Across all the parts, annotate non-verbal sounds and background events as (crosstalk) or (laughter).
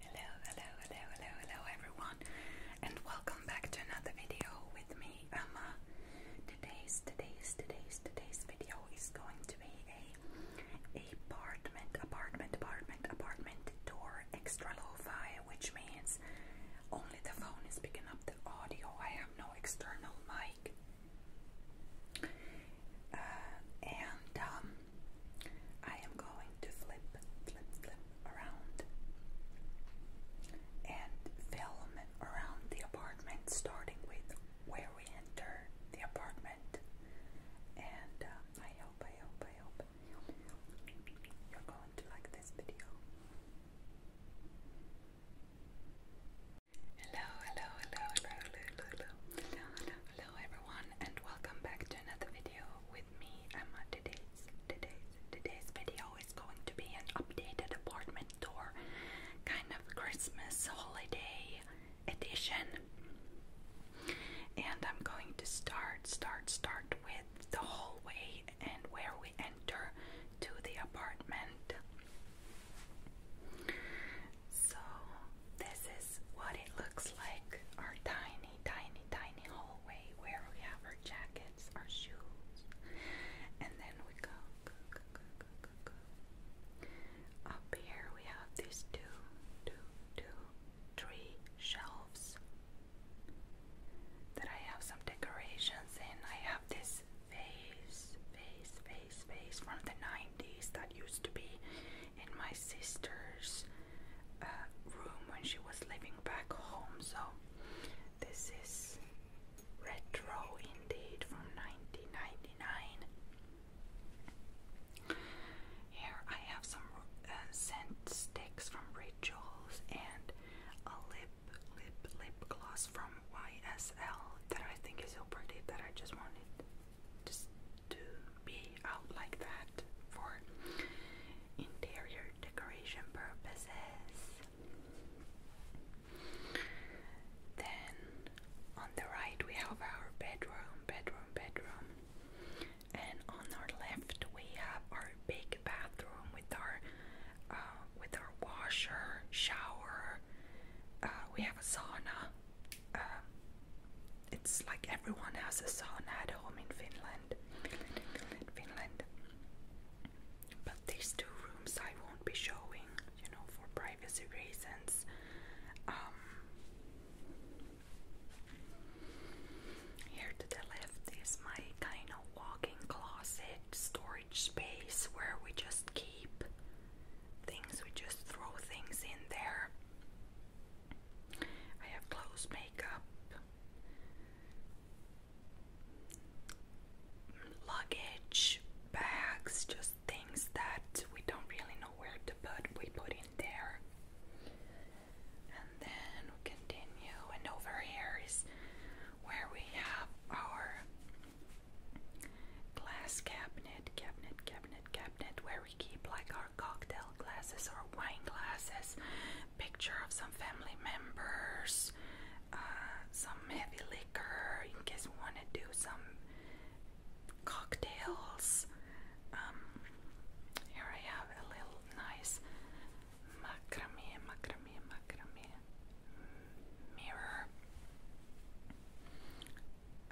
Hello, hello, hello, hello, hello everyone and welcome back to another video with me, Emma. Today's, today's, today's, today's video is going to be a apartment, apartment, apartment, apartment tour extra low fi which means only the phone is picking up the audio. I have no external mic. Uh, and um, I am going to flip, flip, flip around and film around the apartment, starting with where we enter the apartment. And um, uh, I hope, I hope, I hope, I hope you're going to like this video. Hello, hello, hello, hello, hello, hello, hello, hello, hello, hello everyone and welcome back to another video with me Emma. Today's today's today's video is going to be an updated apartment tour, kind of Christmas holiday edition. And I'm going to start start start with the hallway and where we enter to the apartment. So this is what it looks like our tiny, tiny, tiny hallway where we have our jackets, our shoes, and then we go, go, go, go, go, go, go. Up here we have these two, two, two, three shelves that I have some decorations in. I have this face, face, face, face from the 90s that used to be in my sister's uh, room when she was living back home. So this is retro indeed from 1999. Here I have some uh, scent sticks from Rituals and a lip lip lip gloss from YSL that I think is so pretty that I just wanted just to be out like that for interior decoration purposes. Then on the right we have our bedroom, bedroom, bedroom. And on our left we have our big bathroom with our uh, with our washer, shower. Uh, we have a sauna. Uh, it's like everyone has a sauna at home in Finland. Finland, Finland, But these two rooms I won't be showing, you know, for privacy reasons. Um, here to the left is my kind of walk-in closet storage space where we just keep things, we just throw things in there. I have clothes, makeup, luggage, bags, just things that we don't really know where to put, we put in there. And then we continue, and over here is where we have our glass cabinet, cabinet, cabinet, cabinet, where we keep like our cocktail glasses or wine glasses, picture of some family members, uh, some heavy liquor in case want to do some cocktails. Um, here I have a little nice macrame, macrame, macrame mm, mirror.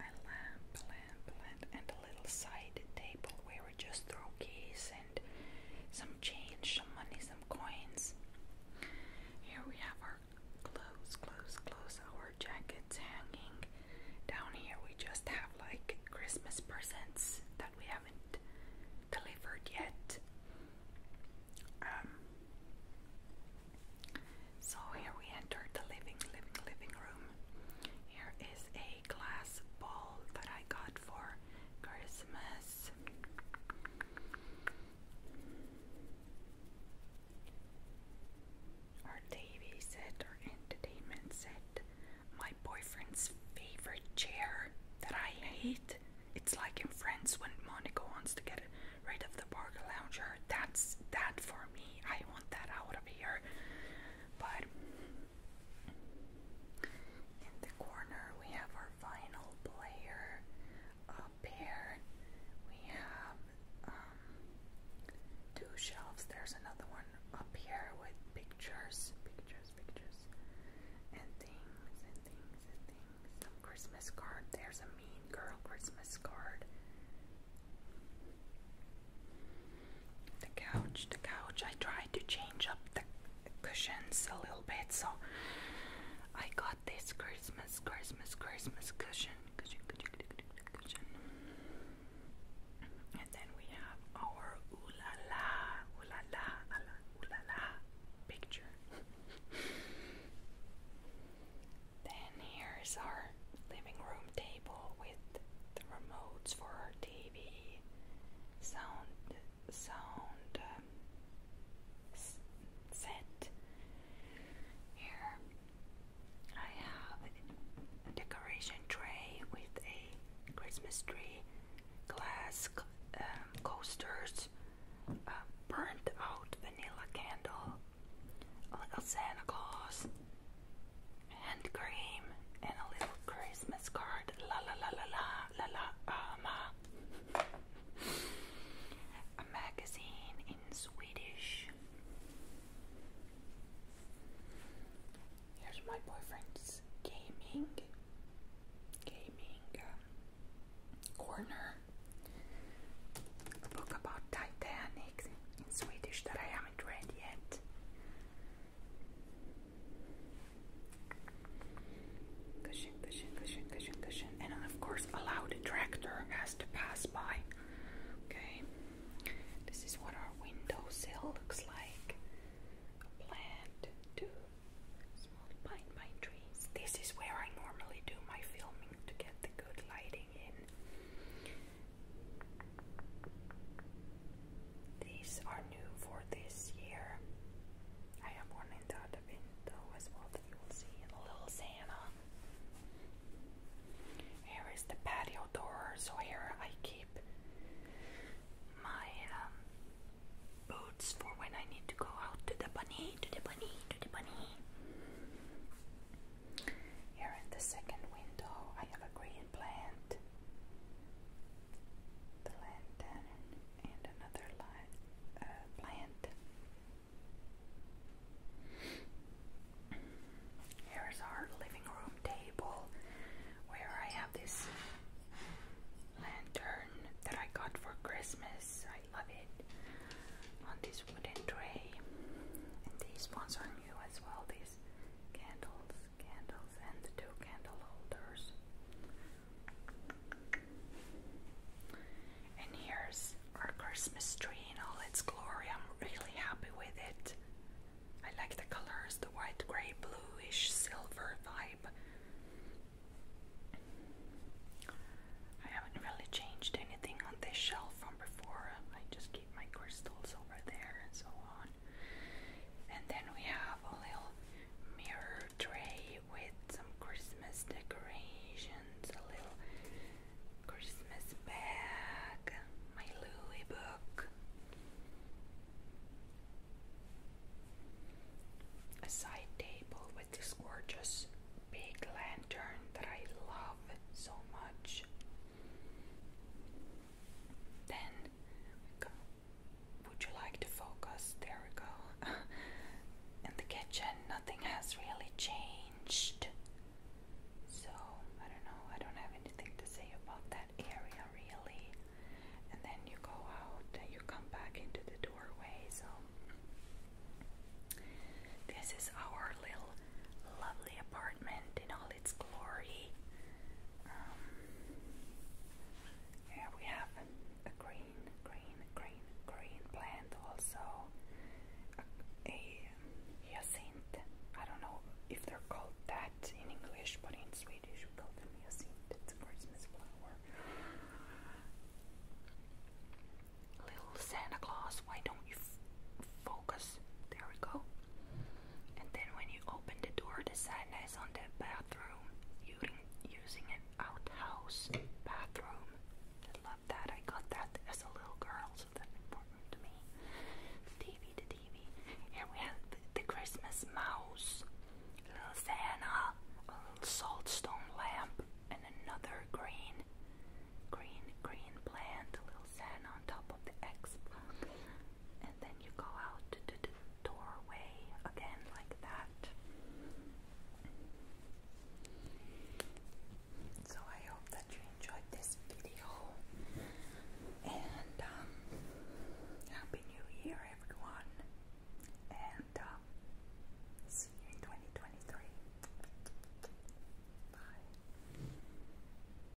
A lamp, lamp, lamp, and a little side table where we just throw keys and some change, some money, some coins. Here we have our clothes, clothes, clothes, our jackets hanging. Down here we just have like Christmas presents that we haven't delivered yet. Um, so here we enter the living, living, living room. Here is a glass ball that I got for Christmas. Our TV set, our entertainment set, my boyfriend's favorite chair that I hate. It's like in France when Monica wants to get rid of the burger lounger. That's that for me. I want that out of here. But in the corner, we have our vinyl player. Up here, we have um, two shelves. There's another one up here with pictures, pictures, pictures, and things, and things, and things. Some Christmas card. There's a Mean Girl Christmas card. The couch, the couch. I tried to change up the cushions a little bit, so I got this Christmas, Christmas, Christmas cushion, cushion, cushion, cushion, and then we have our ooh la la, ooh la la, ooh la la picture. (laughs) then here's our living room table the remotes for her TV, sound sound um, set. Here I have a decoration tray with a Christmas tree, glass um, coasters, burnt out vanilla candle, a little Santa Claus, hand cream and a little Christmas card. La la la la la la la ama. Uh, a magazine in Swedish. Here's my boyfriend's gaming gaming uh, corner. A book about Titanic in Swedish that I haven't read yet. Cushion, cushion, cushion, cushion, cushion. And of course, allow the tractor has to pass by. Okay, this is what our windowsill looks like. A plant, two small pine pine trees. This is where I normally do my filming to get the good lighting in. These are new for this year. I have one in the other window as well you will see a little Santa. Here is the patio door, so here I keep my um, boots for when I need to go out to the bunny, to the bunny, to the bunny. Here in the second window, I have a green plant, the lantern, and another light, uh, plant. Here is our living room table where I have this lantern that I got for Christmas. I love it on this wooden tray. And these ones are new as well, these candles candles and two candle holders. And here's our Christmas tree in all its glory. I'm really happy with it. I like the colors, the white, grey, bluish, silver vibe. I haven't really changed anything on this shelf from before. I just keep my crystals over there and so on. And then we have a little mirror tray with some Christmas decorations, a little Christmas bag, my Louis book, a side table with this gorgeous big lantern that I love so much. Then Would you like to focus? There we go. (laughs) In the kitchen, nothing has really changed. So, I don't know, I don't have anything to say about that area really. And then you go out and you come back into the doorway. So, this is our little lovely apartment in all its glory. Um, here we have a, green, green, green, green plant also. A, hyacinth. I don't know if they're called that in English, but in Swedish we call them hyacinth. It's a Christmas flower. Little Santa Claus, why don't you focus? There we go. And then when you open the door, the sign is on the bathroom, using, using an outhouse bathroom. love that. I got that as a little girl, so that's important to me. TV, the TV. Here we have the, Christmas mouse, little Santa, a little saltstone lamp, and another green, green, green plant, little Santa on top of the Xbox and then you go out to the doorway again like that. So I hope that you enjoyed this video and um, happy new year everyone and um, see you in 2023. Bye.